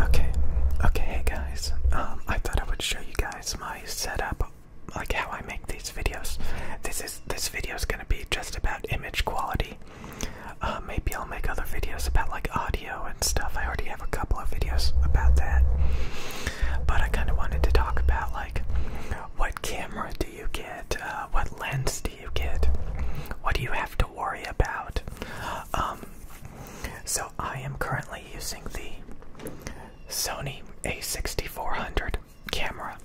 Okay, okay, hey guys. Um, I thought I would show you guys my setup, like how I make these videos. This is this video is gonna be just about image quality. Uh, maybe I'll make other videos about like audio and stuff. I already have a couple of videos about that, but I kind of wanted to talk about like what camera do you get, uh, what lens do you get? What do you have to worry about? Um, so I am currently using the Sony A6400 camera.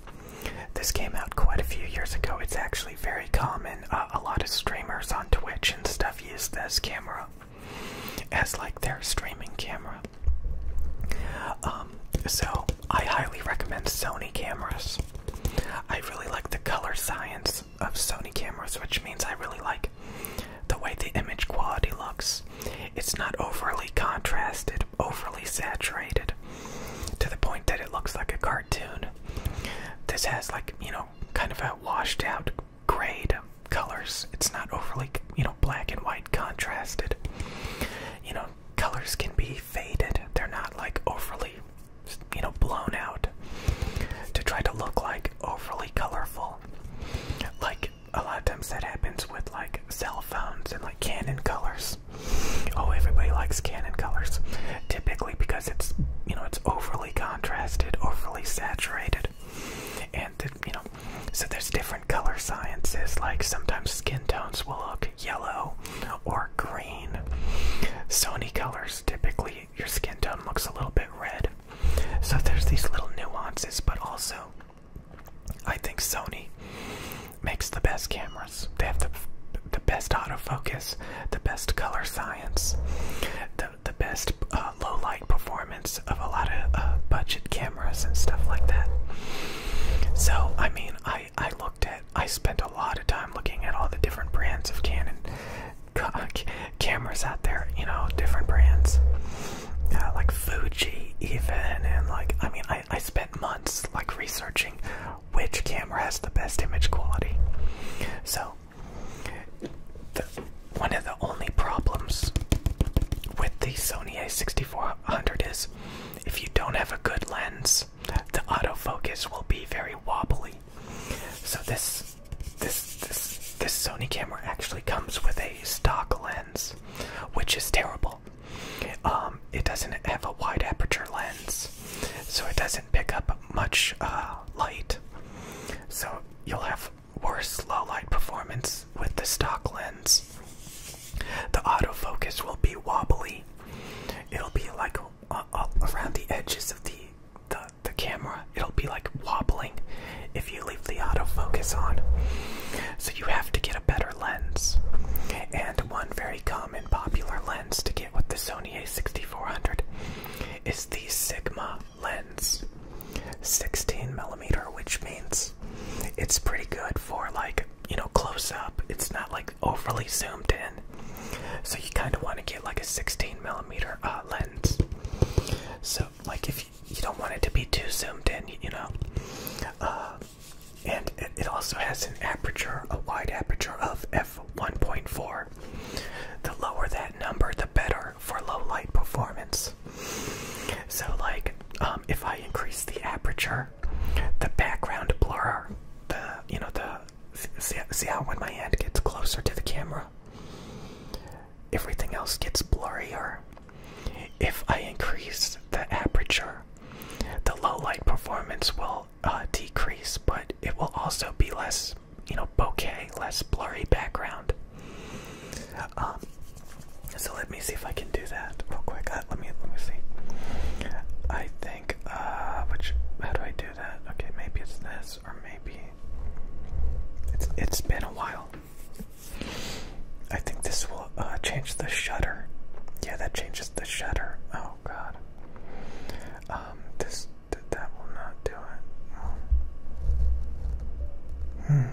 This came out quite a few years ago. It's actually very common. Uh, a lot of streamers on Twitch and stuff use this camera as like their streaming camera. Um, so I highly recommend Sony cameras. I really like the color science of Sony cameras, which means I really like the way the image quality looks. It's not overly contrasted, overly saturated, to the point that it looks like a cartoon. This has, like, you know, kind of a washed out grayed colors. It's not overly, you know, black and white contrasted. You know, colors can be faded, they're not like overly you know, blown out to try to look like overly colorful. Like a lot of times that happens with like cell phones and like Canon colors. Oh, everybody likes Canon colors, typically because it's you know it's overly contrasted, overly saturated, and you know so there's different color sciences. Like sometimes skin tones will look yellow or gray. Sony colors typically your skin tone looks a little bit red. So there's these little nuances, but also I think Sony makes the best cameras. They have the the best autofocus, the best color science, the the best uh, low light performance of a lot of uh, budget cameras and stuff like that. So I mean, I I looked at I spent a lot of time looking at all the different brands of Canon uh, cameras out there, you know, different brands. like Fuji, even, and like, I mean, I, I spent months like researching which camera has the best image quality. So, the, one of the only problems with the Sony a6400 is if you don't have a good lens, the autofocus will be very wobbly. So this this this this Sony camera actually comes with a stock lens, which is terrible. Um, it doesn't have a wide aperture lens, so it doesn't pick up much uh, light. So you'll have worse low light performance with the stock lens. The autofocus will be wobbly. It'll be like uh, uh, around the edges of the, the the camera it'll be like wobbling if you leave the autofocus on so you have to get a better lens and one very common popular lens to get with the sony a6400 is the sigma lens 16 millimeter which means it's pretty good for like you know close up it's not like overly zoomed in. So you kind of want to get like a 16 millimeter uh, lens. So like if you, don't want it to be too zoomed in, you, know. Uh, and it, also has an aperture, a wide aperture of f1.4. The lower that number, the better for low light performance. So like um, if I increase the aperture the background blur, the you know the see, how when my hand gets closer to the camera, everything else gets blurrier. If I increase the aperture, the low light performance will uh, decrease, but it will also be less you know bokeh, less blurry background. Um, so let me see if I can do that real quick. Let me let me see. I think uh, which how do I do that? Okay, maybe it's this or maybe it's it's been a while. I think this will uh, change the shutter. Yeah, that changes the shutter. Oh god. Um this that will not do it. Hmm.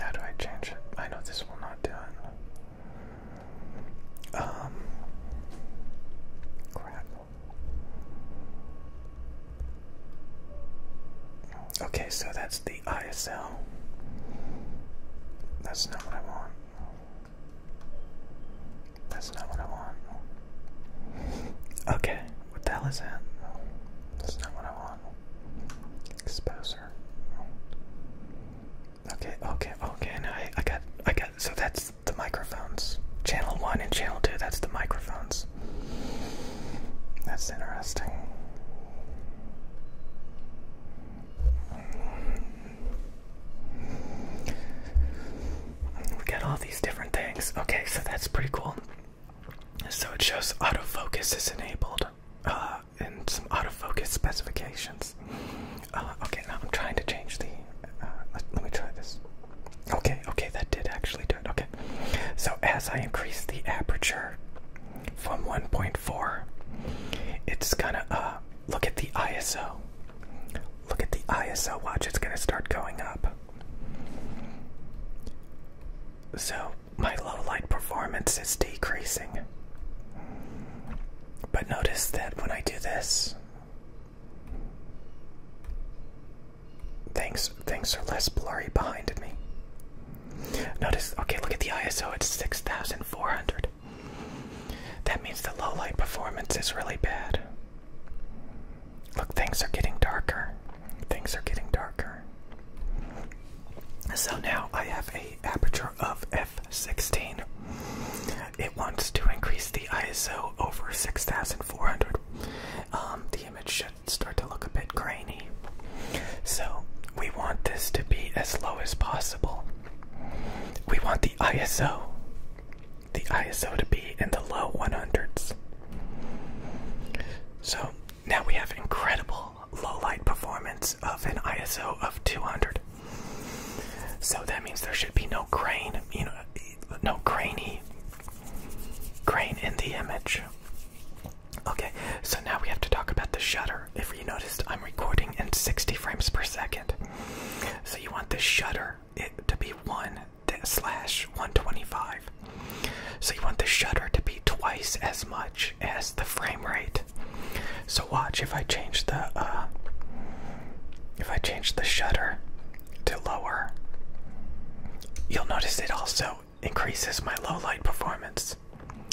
How do I change it? I know this will not do it. Um, okay, so that's the ISL. That's not what I want. That's not what I want. Okay, what the hell is that? That's not what I want. Exposer. Okay, okay, okay. Now I, I got, I got. So that's the microphones. Channel one and channel two. That's the microphones. That's interesting. We got all these different things. Okay, so that's pretty cool. So it shows autofocus is enabled. Uh, and some autofocus specifications. Uh, okay, now I'm trying to change the. Uh, let, me try this. Okay, okay, that did actually do it. Okay, so as I increase the aperture from 1.4, it's gonna uh, look at the ISO. Look at the ISO. Watch, it's gonna start going up. So my low light performance is decreasing. But notice that when I do this, things things are less blurry behind me. Notice, okay, look at the ISO, it's 6400. That means the low light performance is really bad. Look, things are getting darker. Things are getting darker. So now I have a aperture of f 516. It wants to increase the ISO over 6400. Um, the image should start to look a bit grainy. So we want this to be as low as possible. We want the ISO, the ISO to be in the low 100s. So now we have incredible low light performance of an ISO of 200. So that means there should be no grain, you know, no grainy grain in the image. Okay, so now we have to talk about the shutter. If you noticed, I'm recording in 60 frames per second. So you want the shutter to be 1 125. So you want the shutter to be twice as much as the frame rate. So watch if I change the uh, if I change the shutter to lower, you'll notice it also increases my low light performance.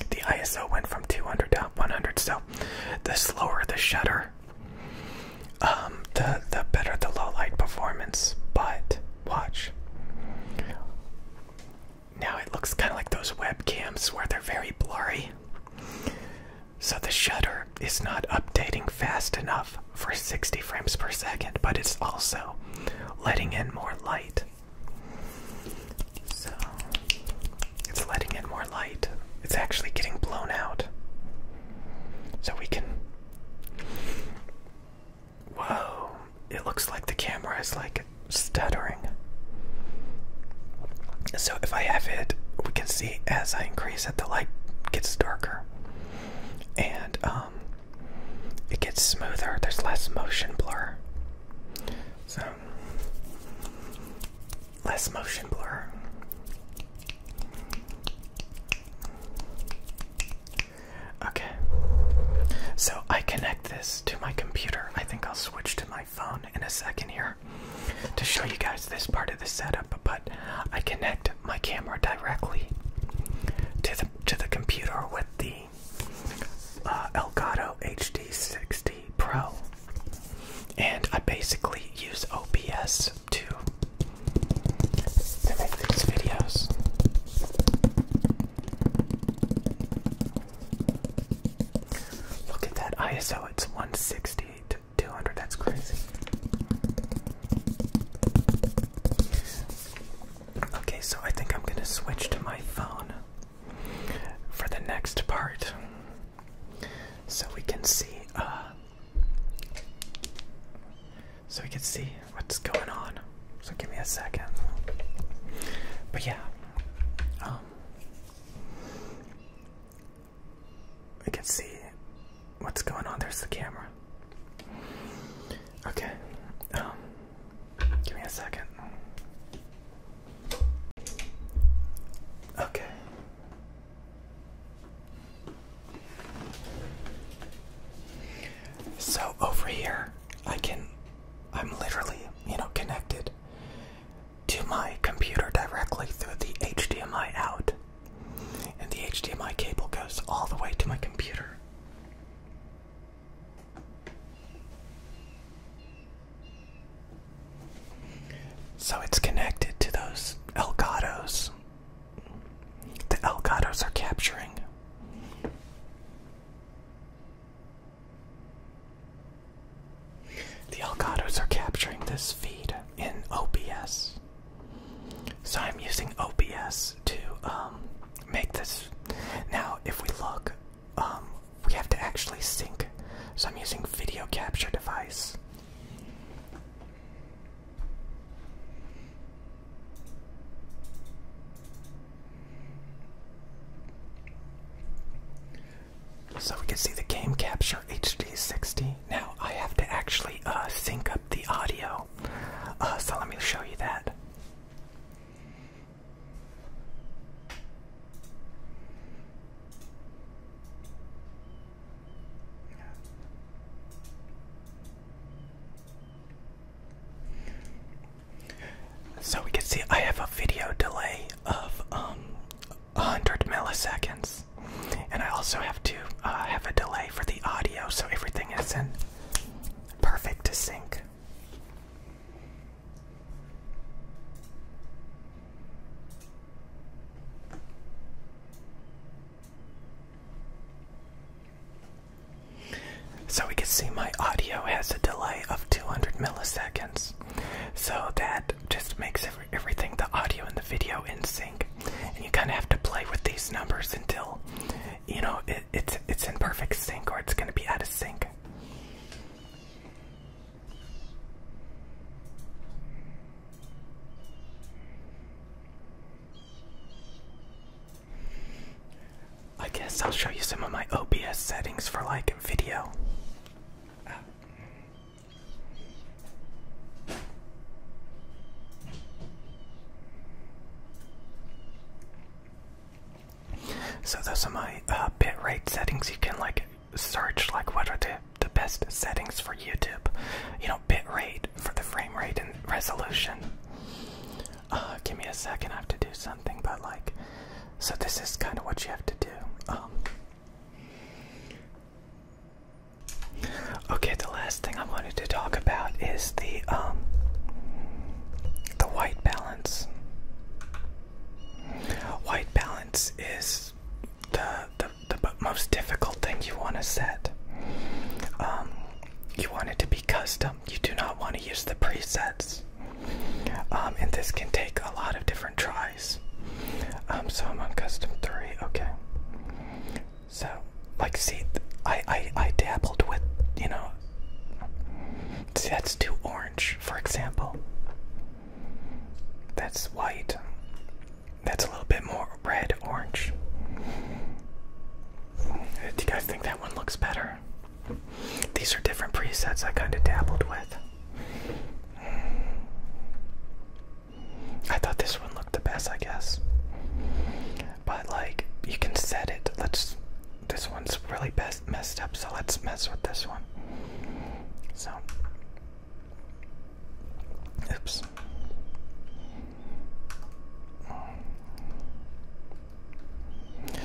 The ISO went from 200 to 100, so the slower the shutter, um, the the better the low light performance. But watch. Now it looks kind of like those webcams where they're very blurry. So the shutter is not updating fast enough for 60 frames per second, but it's also letting in more light. So it's letting in more light. It's actually getting blown out. So we can. Whoa it looks like the camera is like stuttering. So if I have it, we can see as I increase it, the light gets darker, and um, it gets smoother. There's less motion blur. So less motion blur. Okay. So I connect this to my computer. I think I'll switch to my phone in a second here to show you guys this part of the setup, but I connect my camera directly to the to the computer with the uh, Elgato HD60 Pro, and I basically use OBS to to make these videos. Look at that ISO, it's 168 to 200, that's crazy. Okay, so I think I'm gonna switch to my phone for the next part so we can see, uh, so we can see what's going on. So give me a second. But yeah, um, we can see what's going on. There's the camera. Okay, um, give me a second. Okay. So over here, I can I'm literally, you know, connected to my computer directly through the HDMI out. And the HDMI cable goes all the way to my computer. So it's connected to those Elgatos. The Elgatos are capturing. The alcatraz are capturing this feed in OBS. So I'm using OBS to um, make this. Now, if we look, um, we have to actually sync. So I'm using video capture device. So we can see the game capture HD 60. Now I have to actually uh, sync up the audio. Uh, so let me show you that. So we can see I have a video delay of um 100 milliseconds, and I also have to uh, have a delay for the audio, so everything is in perfect sync. So we can see my audio has a delay of 200 milliseconds. So that just makes everything, the audio and the video, in sync. And you kind of have to play with these numbers until, you know, it's, it's in perfect sync or it's going to be out of sync. I guess I'll show you some of my OBS settings for like video. So those are my uh, bitrate settings. You can like search like what are the the best settings for YouTube. You know, Bit rate for the frame rate and resolution. Uh, give me a second, I have to do something, but like, so this is kind of what you have to do. Um, okay, the last thing I wanted to talk about is the um, the white balance. White balance is the the, most difficult thing you want to set. Um, you want it to be custom. You do not want to use the presets. Um, and this can take a lot of different tries. Um, so I'm on custom three. Okay. So, like, see, I, I dabbled with, you know, see, that's too orange, for example. That's white. That's a little bit more red orange. Do you guys think that one looks better? These are different presets I kind of dabbled with. I thought this one looked the best, I guess. But like, you can set it. Let's. This one's really messed up, so let's mess with this one. So. Oops.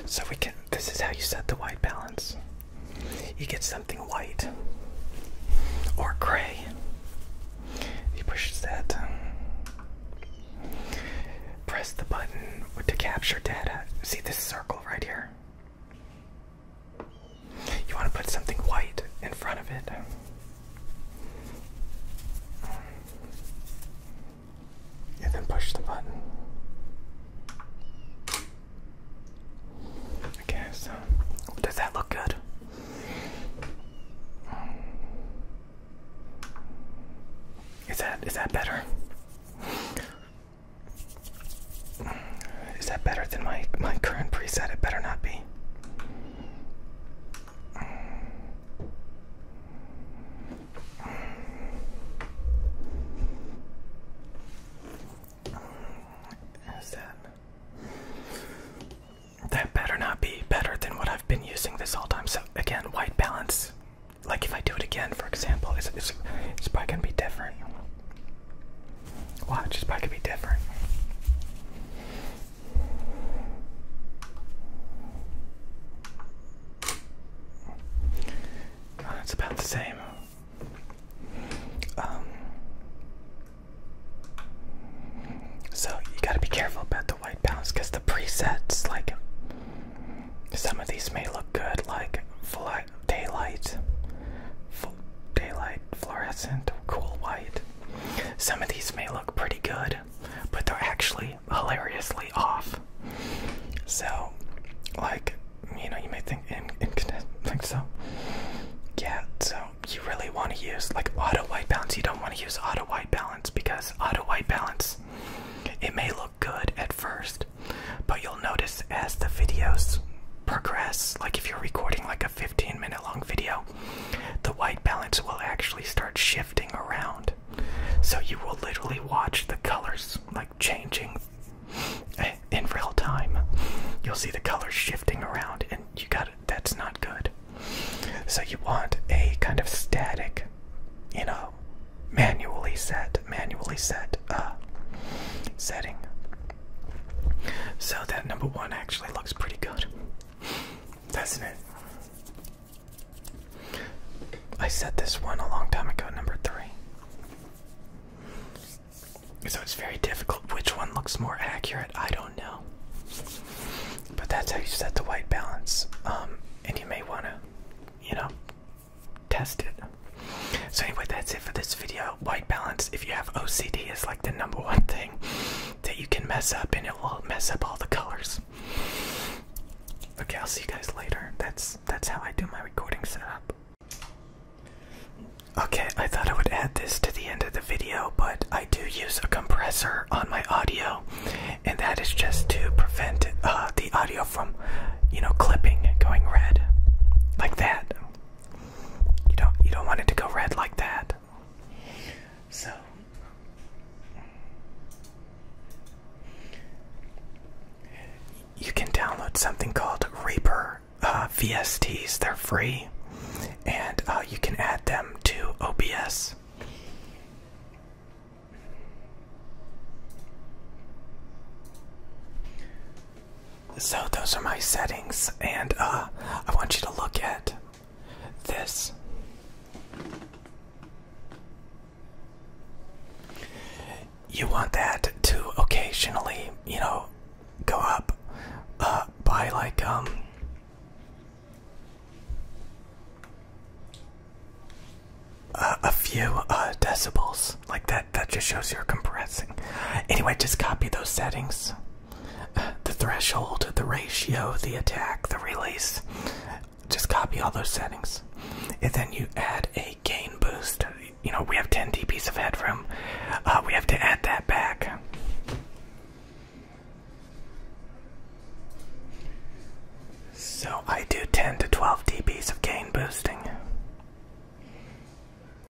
So we can this is how you set the white balance. You get something white or gray. He pushes that. Press the button to capture data. See this circle right here? You want to put something white in front of it and then push the button. Um, okay, so does that look good? Is that is that better? Is that better than my my current preset? It better not be that? That better not be better than what I've been using this whole time. So again, white balance. Like if I do it again, for example, it's it's, it's probably gonna be different. Watch, it's probably gonna be different it's about the same. Um, so you gotta be careful about the white balance because the presets, like some of these may look good, like daylight, daylight, fluorescent, cool white. Some of these may look pretty good, but they're actually hilariously off. So, like, you know, you may think, think so. Yeah, so you really want to use, like, auto white balance. You don't want to use auto white balance because auto white balance, it may look good at first, but you'll notice as the videos progress, like if you're recording like a 15 minute long video, the white balance will actually start shifting around. So you will literally watch the colors like changing in real time. You'll see the colors shifting around, and you got that's not good. So you want a kind of static, you know, manually set, manually set uh, setting. So that number one actually looks pretty good, doesn't it? I said this one a long time ago, number three. So it's very difficult. Which one looks more accurate? I don't know. But that's how you set the white balance. Um, and you may want to, you know, test it. So, anyway, that's it for this video white balance, if you have OCD, is like the number one thing that you can mess up, and it will mess up all the colors. Okay, I'll see you guys later. That's that's how I do my recording setup. Okay, I thought I would add this to the end of the video, but I do use a compressor on my audio, and that is just to prevent uh, the audio from, you know, clipping, and going red, like that. You don't you don't want it to go red like that. So you can download something called Reaper uh, VSTs. They're free, and uh, you can add them to OBS. So those are my settings, and uh, I want you to look at this. You want that to occasionally, you know, go up uh, by like um. a few uh, decibels like that that just shows you're compressing anyway just copy those settings the threshold, the ratio, the attack, the release. Just copy all those settings. And then you add a gain boost. You know, we have 10 dBs of headroom. Uh, we have to add that back. So I do 10 to 12 dBs of gain boosting.